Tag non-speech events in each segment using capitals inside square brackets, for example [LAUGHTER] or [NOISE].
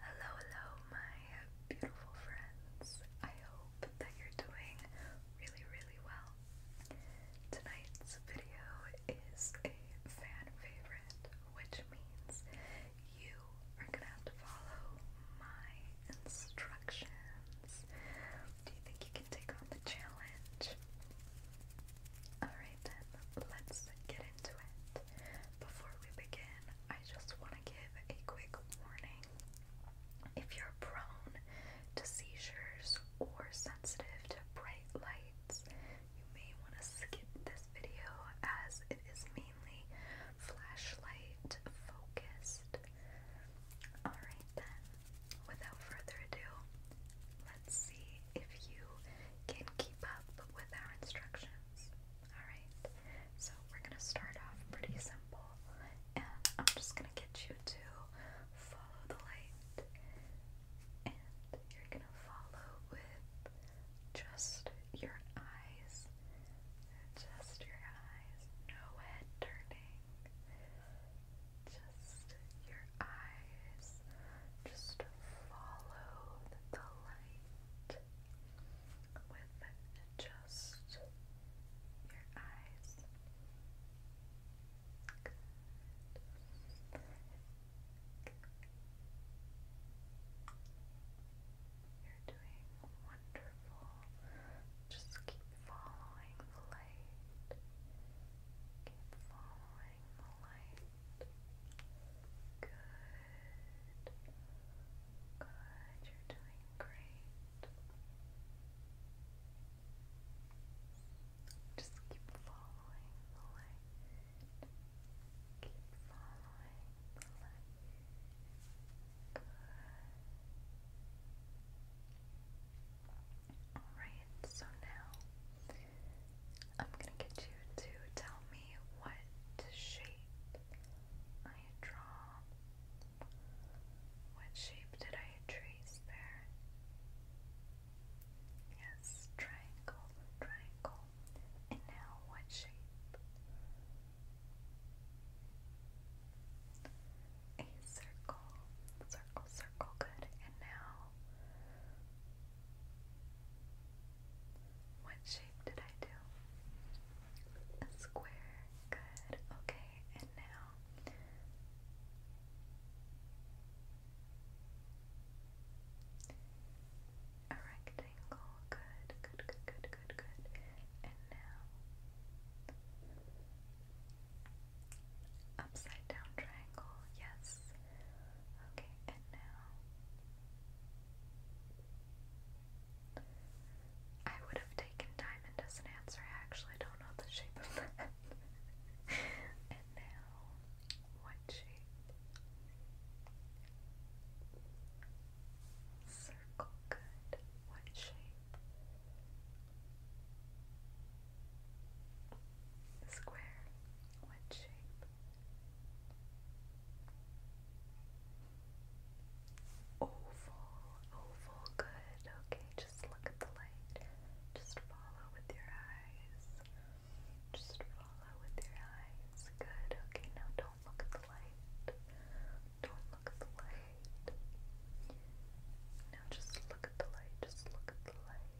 Hello, hello, my beautiful friends. I hope that you're doing really, really well. Tonight's video is a fan favorite, which means you are gonna have to follow my instructions. Do you think you can take on the challenge? Alright, let's get into it. Before we begin, I just want to give a quick warning. If you're prone to seizures or sensitive to bright lights, you may want to skip this video as it is mainly flashlight focused. Alright then, without further ado, let's see if you can keep up with our instructions. Alright, so we're gonna start off pretty simple, and I'm just gonna get you to follow the light, and you're gonna follow with just your eyes, just your eyes, no head turning, just your eyes. Just follow the light with just your eyes. You're doing wonderful. Just keep following the light. Keep following applying Good. Good, you're doing great. Just keep following the light. Keep following the light. Good. Alright, so now I'm gonna get you to tell me what shape I draw. What shape did I trace there? Yes, triangle, triangle. And now what shape? A circle, circle, circle, good. And now what shape did I do? A square. Good. Okay, and now. A rectangle. Good, good, good, good, good, good. And now. Upside down triangle. Yes. Okay, and now I would have taken diamond as an answer. I actually don't know the shape of that. [LAUGHS] and now, what shape? Circle, good. What shape? Square. What shape? Oval. Oval. Good. Okay, just look at the light. Just follow with your eyes. Just follow with your eyes. Good. Okay, now don't look at the light. Don't look at the light. Now just look at the light. Just look at the light.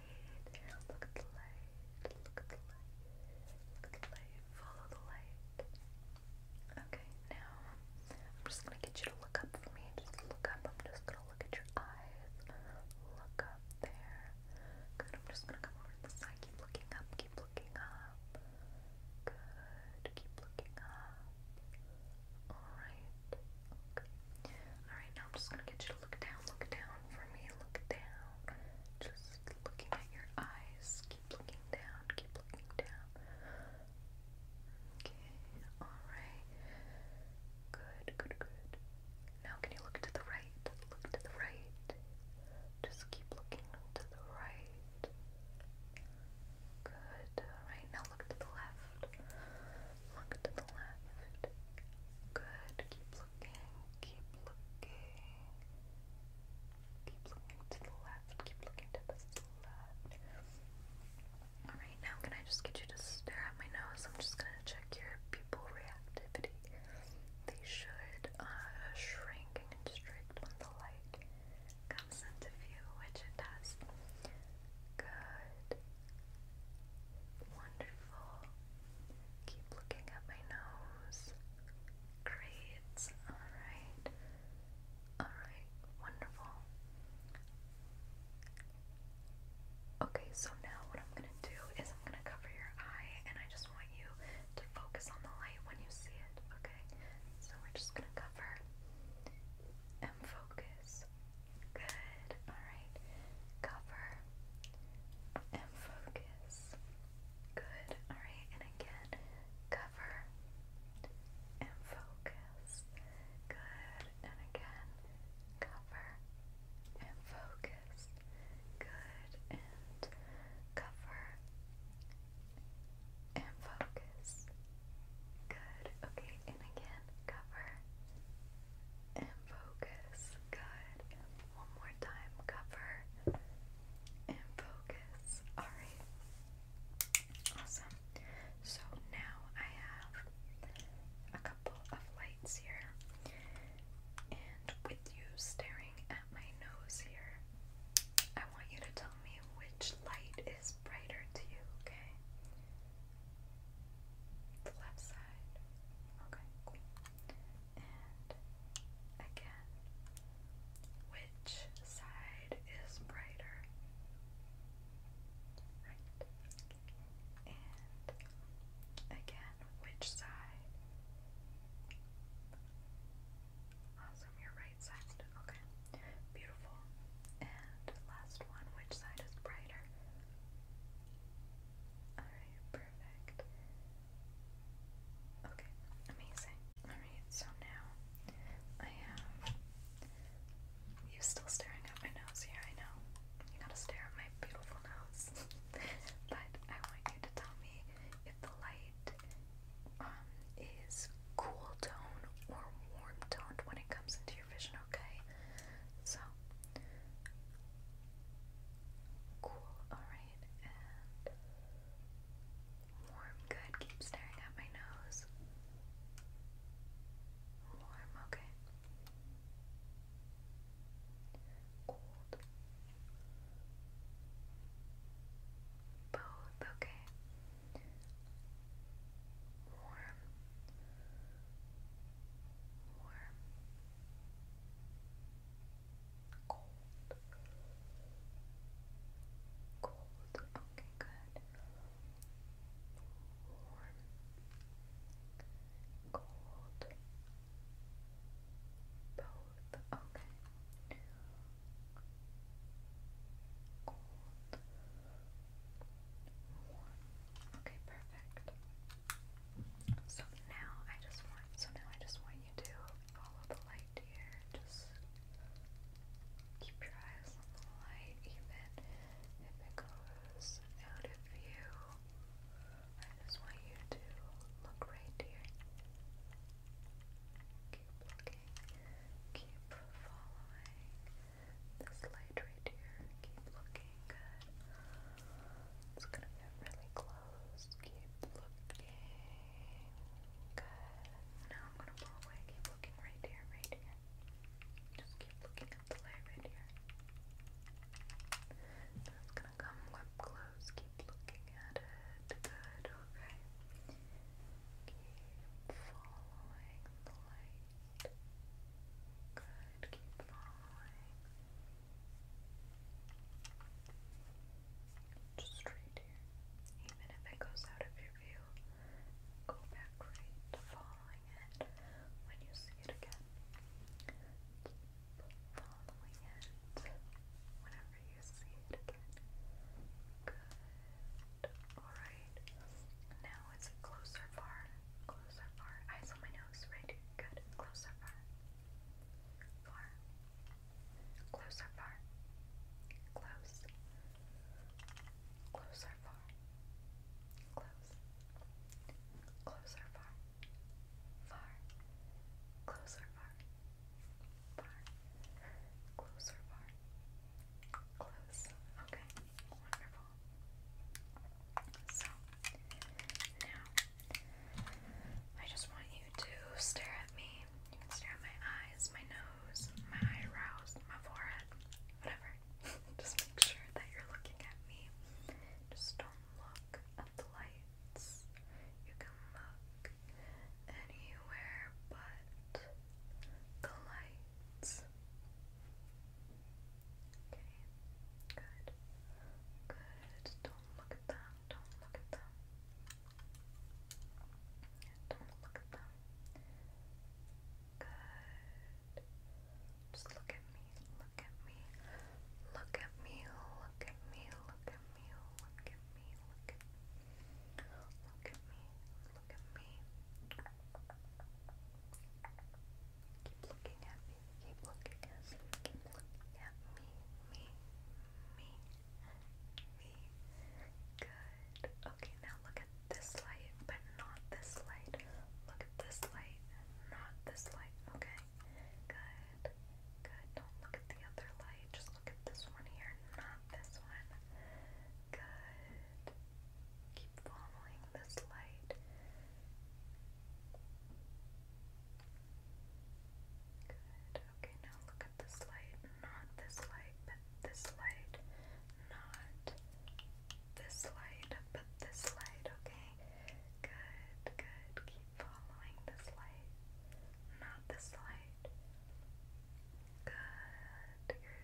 light. Look at the light. Look at the light. Look at the light. Follow the light. Okay, now I'm just gonna get you to look up for me. Just look up. I'm just gonna look at your eyes. Look up there. Good. I'm just gonna come over to the side. Keep looking up. Keep looking up. Good. Keep looking up. Alright. Okay. Alright, now I'm just gonna get you to look down. Look down for me. Look down. Just looking at your eyes. Keep looking down. Keep looking down. Okay. All right. Good. Good. Good. Now can you look to the right? Look to the right. Just keep looking to the right. Good. All right. Now look to the left. Look to the left. Good. Keep keep looking. Keep looking to the left, keep looking to the left. Alright, now can I just get you to stare at my nose? I'm just gonna check your pupil reactivity. They should uh, shrink and constrict when the light comes into view, which it does. Good. Wonderful. Keep looking at my nose. Great. Alright. Alright. Wonderful. Okay, so now what I'm going to do is I'm going to cover your eye and I just want you to focus on the light when you see it, okay? So we're just going to cover and focus. Good. Alright. Cover focus. Good. Alright, and again, cover and focus. Good. And again, cover and focus. Good. And cover and focus. Good. Okay, and again, cover and focus. Good. One more time. Cover and focus. Alright. Awesome. So now I have a couple of lights here. And with you staring at my nose here, I want you to tell me which light is brighter to you, okay? The left side. Okay, cool. And again, which side is brighter? Right. And again, which side? Awesome, your right side. Okay. Beautiful. And last one, which side is brighter? Alright, perfect. Okay, amazing. Alright, so now I have you still staring at my nose here, I know. You gotta stare at my beautiful nose. [LAUGHS] but I want you to tell me if the light um is cool tone or warm toned when it comes into your vision, okay? So now. Cool, alright, warm, good. Keep staring at my nose. Warm, okay. Cold. Both, okay. Warm warm, cold, cold, okay, good, warm, cold, both, okay, cold, warm, okay, perfect. So now I just want so now I just want you to follow the light here. Just keep your eyes on the light even if it goes out of view. I just want you to look right here. Keep looking. Keep following. This light right here, keep looking good. It's gonna get really close. Keep looking good. Now I'm gonna pull away. Keep looking right here, right here. Just keep looking at the light right here. it's gonna come up close. Keep looking at it. Good. Okay. Keep following the light. Good good. Just right here. Even if it goes out of your view, go back right to following it when you see it again. following it whenever you see it again. Good. Alright. Now it's closer far. Close up far. Eyes on my nose. Right. Good. Close far. Far. Close far. Close. Close far. Close. Close far. Far. Close far. Far. Close far. Close. Okay. Wonderful. So, now, I just want you to stare at me. You can stare at my eyes, my nose, my eyebrows, my forehead, whatever. [LAUGHS] just make sure that you're looking at me. Just don't look at the lights. You can look anywhere but the lights. Okay, good. Good. Don't look at them. Don't look at them. Don't look at them. Good. Just look at me. Look at me. Look at me. Look at me. Look at me. Look at me. Look at me look at me. Keep looking at me. Keep looking at me. Keep looking at me. Me. Me. Me. Good. Okay, now look at this light, but not this light. Look at this light, not this light. Okay. Good. Good. Don't look at the other light. Just look at this one here, not this one. Good. Keep following this light. Okay, now look at this light. Not this light, but this light. Not this light, but this light. Okay. Good, good. Keep following this light. Not this light. Good.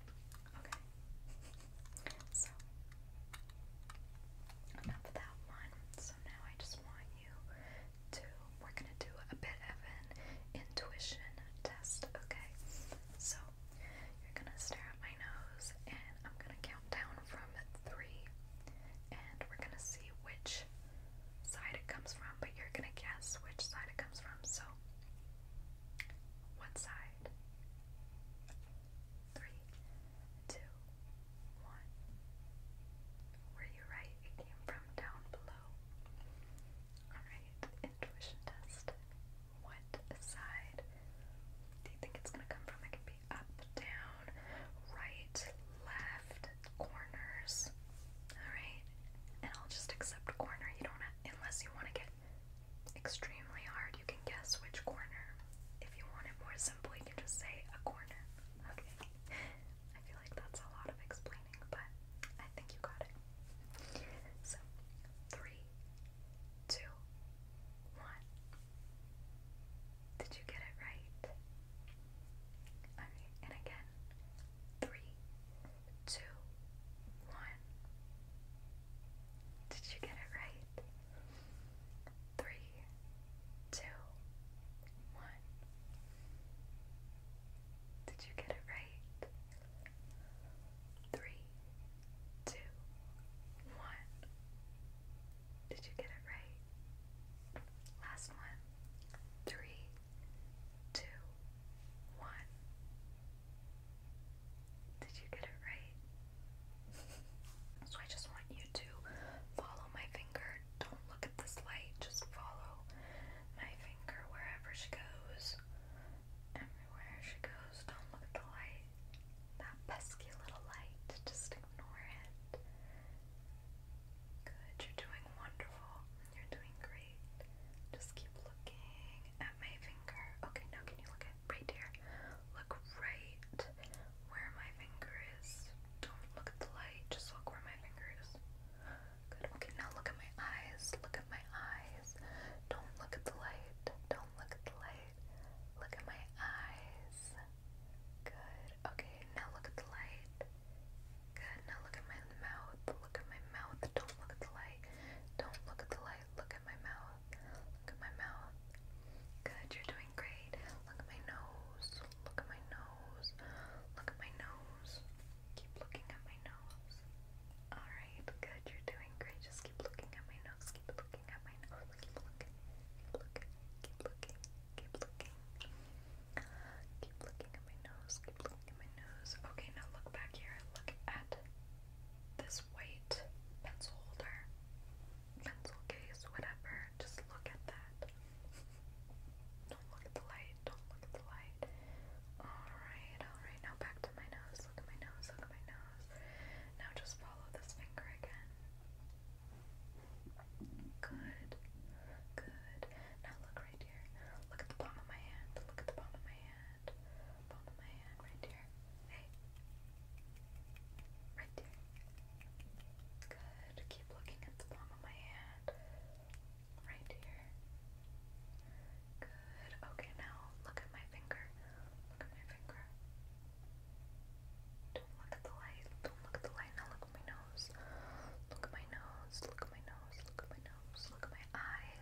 Okay. So enough of that one. So now I just want you to we're gonna do a bit of an intuition test, okay? So you're gonna stare at my nose and I'm gonna count down from three and we're gonna see which side it comes from, but you're gonna guess which side it comes from. So one side, Three, two, one. Were you right? It came from down below. Alright, intuition test. What side do you think it's gonna come from? It can be up, down, right, left, corners. Alright? And I'll just accept corner. You don't unless you want to get extremely hard. You can guess which corner. If you want it more simple, you can just say a corner. Okay. I feel like that's a lot of explaining, but I think you got it. So, three, two, one. Did you get it right? Okay, and again. Three, two, one. Did you get it right? Three, two, one. Did you get it right? Three, two, one. Did you get it right? Last one. Three, two, one. Did you get it right? [LAUGHS] so I just want you to follow my finger. Don't look at this light. Just follow my finger wherever she goes. Everywhere she goes. Don't look at the light. That pesky little light. Just ignore it. Good. You're doing wonderful. You're doing great. Just keep looking at my finger. Okay, now can you look at right here? Look right where my finger is. Don't look at the light. Just look where my finger is. Good. Okay, now look at my eyes. Look at my eyes. Don't look at the light. Don't look at the light. Look at my eyes. Good. Okay, now look at the light. Good. Now look at my mouth. Look at my mouth. Don't look at the light. Don't look at the light. Look at my mouth. Look at my mouth. Good, you're doing great. Look at my nose. Look at my nose. Look at my nose. Keep looking at my nose. Alright, good, you're doing great. Just keep looking at my nose. Keep looking at my nose. Keep looking. Keep looking. Keep looking. Keep looking. Keep looking at my nose. Keep looking at my nose. Okay, now look back here. Look at this white pencil holder, pencil case, whatever. Just look at that. [LAUGHS] don't look at the light. Don't look at the light. Alright, alright. Now back to my nose. Look at my nose. Look at my nose. Now just follow this finger again. Good. Good. Now look right here. Look at the palm of my hand. Look at the palm of my hand hand. Palm of my hand right here. Hey. Right there. Good. Keep looking at the palm of my hand. Right here. Good. Okay, now look at my finger. Look at my finger. Don't look at the light. Don't look at the light. Now look at my nose. Look at my nose. Look at my nose. Look at my nose. Look at my eyes.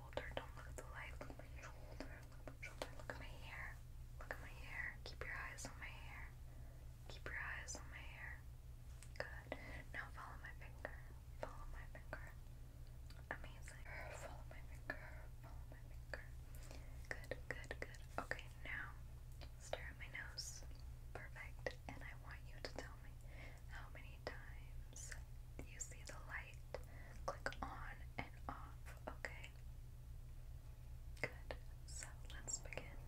Don't look at the light. Look at my shoulder. Look at my shoulder. Look at my hair. Look at my hair. Keep your eyes on my hair. Keep your eyes on my hair. Good. Now follow my finger. Follow my finger. Amazing. Follow my finger. Follow my finger. Good, good, good. Okay, now stare at my nose. Perfect. And I want you to tell me how many times you see the light click on and off, okay? Good. So let's begin.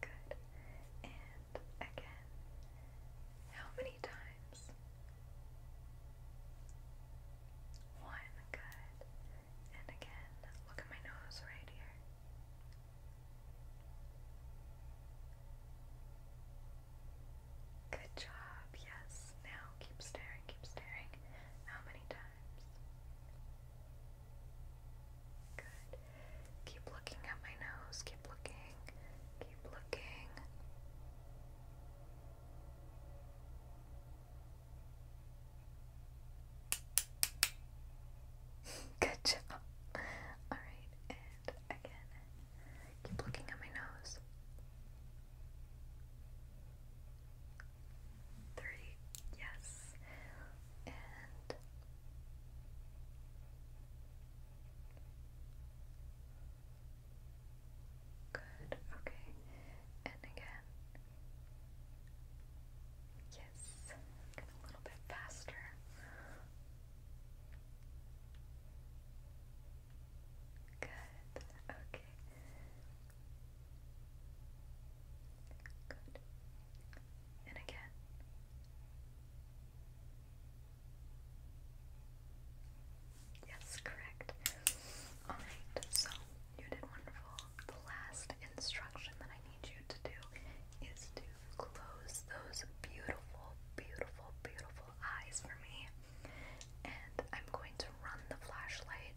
Good. And again, how many times? One. Good. And again, look at my nose right here. Good job, yes. Now keep staring, keep staring. How many times? Good. Keep looking at my nose, keep looking, keep looking. [LAUGHS] Good job. Alright, and again, keep looking at my nose. 30, yes. And Good, okay. And again. Yes, a little bit faster. Good. Okay. Good. And again. Yes, correct. Alright, so you did wonderful the last instruction that I need you to do is to close those beautiful, beautiful, beautiful eyes for me. And I'm going to run the flashlight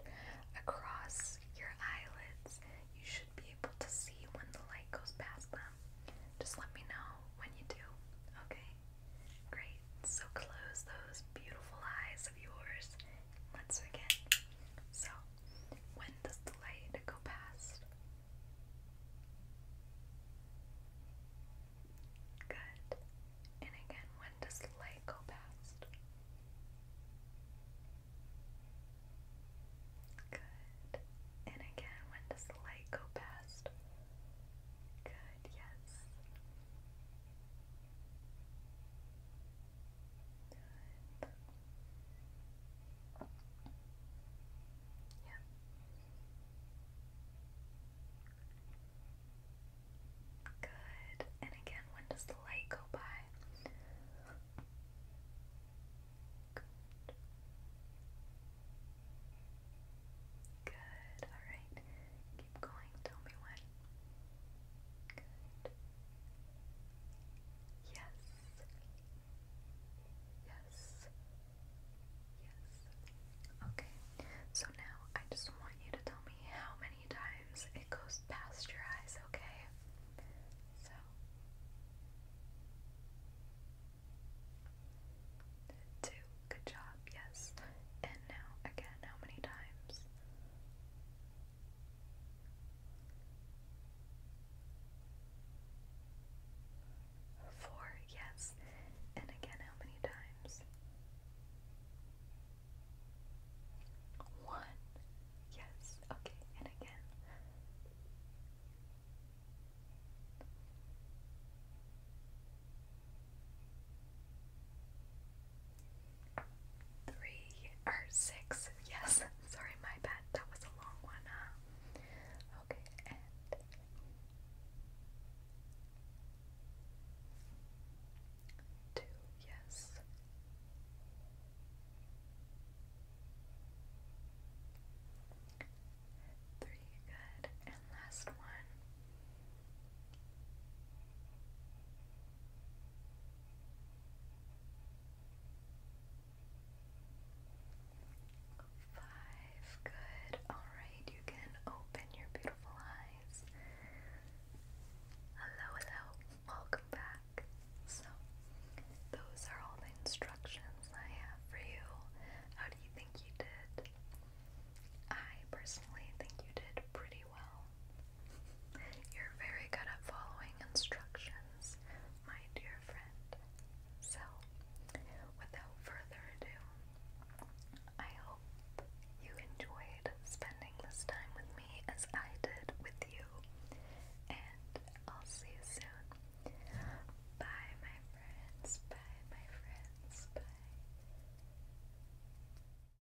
across your eyelids. You should be able to see when the light goes past them. Just let me know when you do, okay? Great. So close those beautiful eyes of yours. Let's begin. So, when does the light go past? Good. And again, when does the light go past? Good. And again, when does the light go past? Good, yes. Good. Yeah. Good. And again, when does the light go by? Good. Good. All right. Keep going. Tell me when. Good. Yes. Yes. Yes. Okay. So now I just want you to tell me how many times it goes past your eyes, okay? So Two. Good job. Yes. And now again, how many times? Four, yes. And again, how many times? One, yes. Okay, and again three or six. Yes, [LAUGHS] sorry, my bad. That was a long one, huh? Okay, two, yes. Three, good. And last one. Five, good. Alright, you can open your beautiful eyes. Hello, hello, welcome back. So, those are all the instructions I have for you. How do you think you did? I personally think you did pretty well. You're very good at following instructions, my dear friend. So, without further ado, I hope you enjoyed spending this time with me as I did with you. And I'll see you soon. Bye, my friends. Bye, my friends. Bye.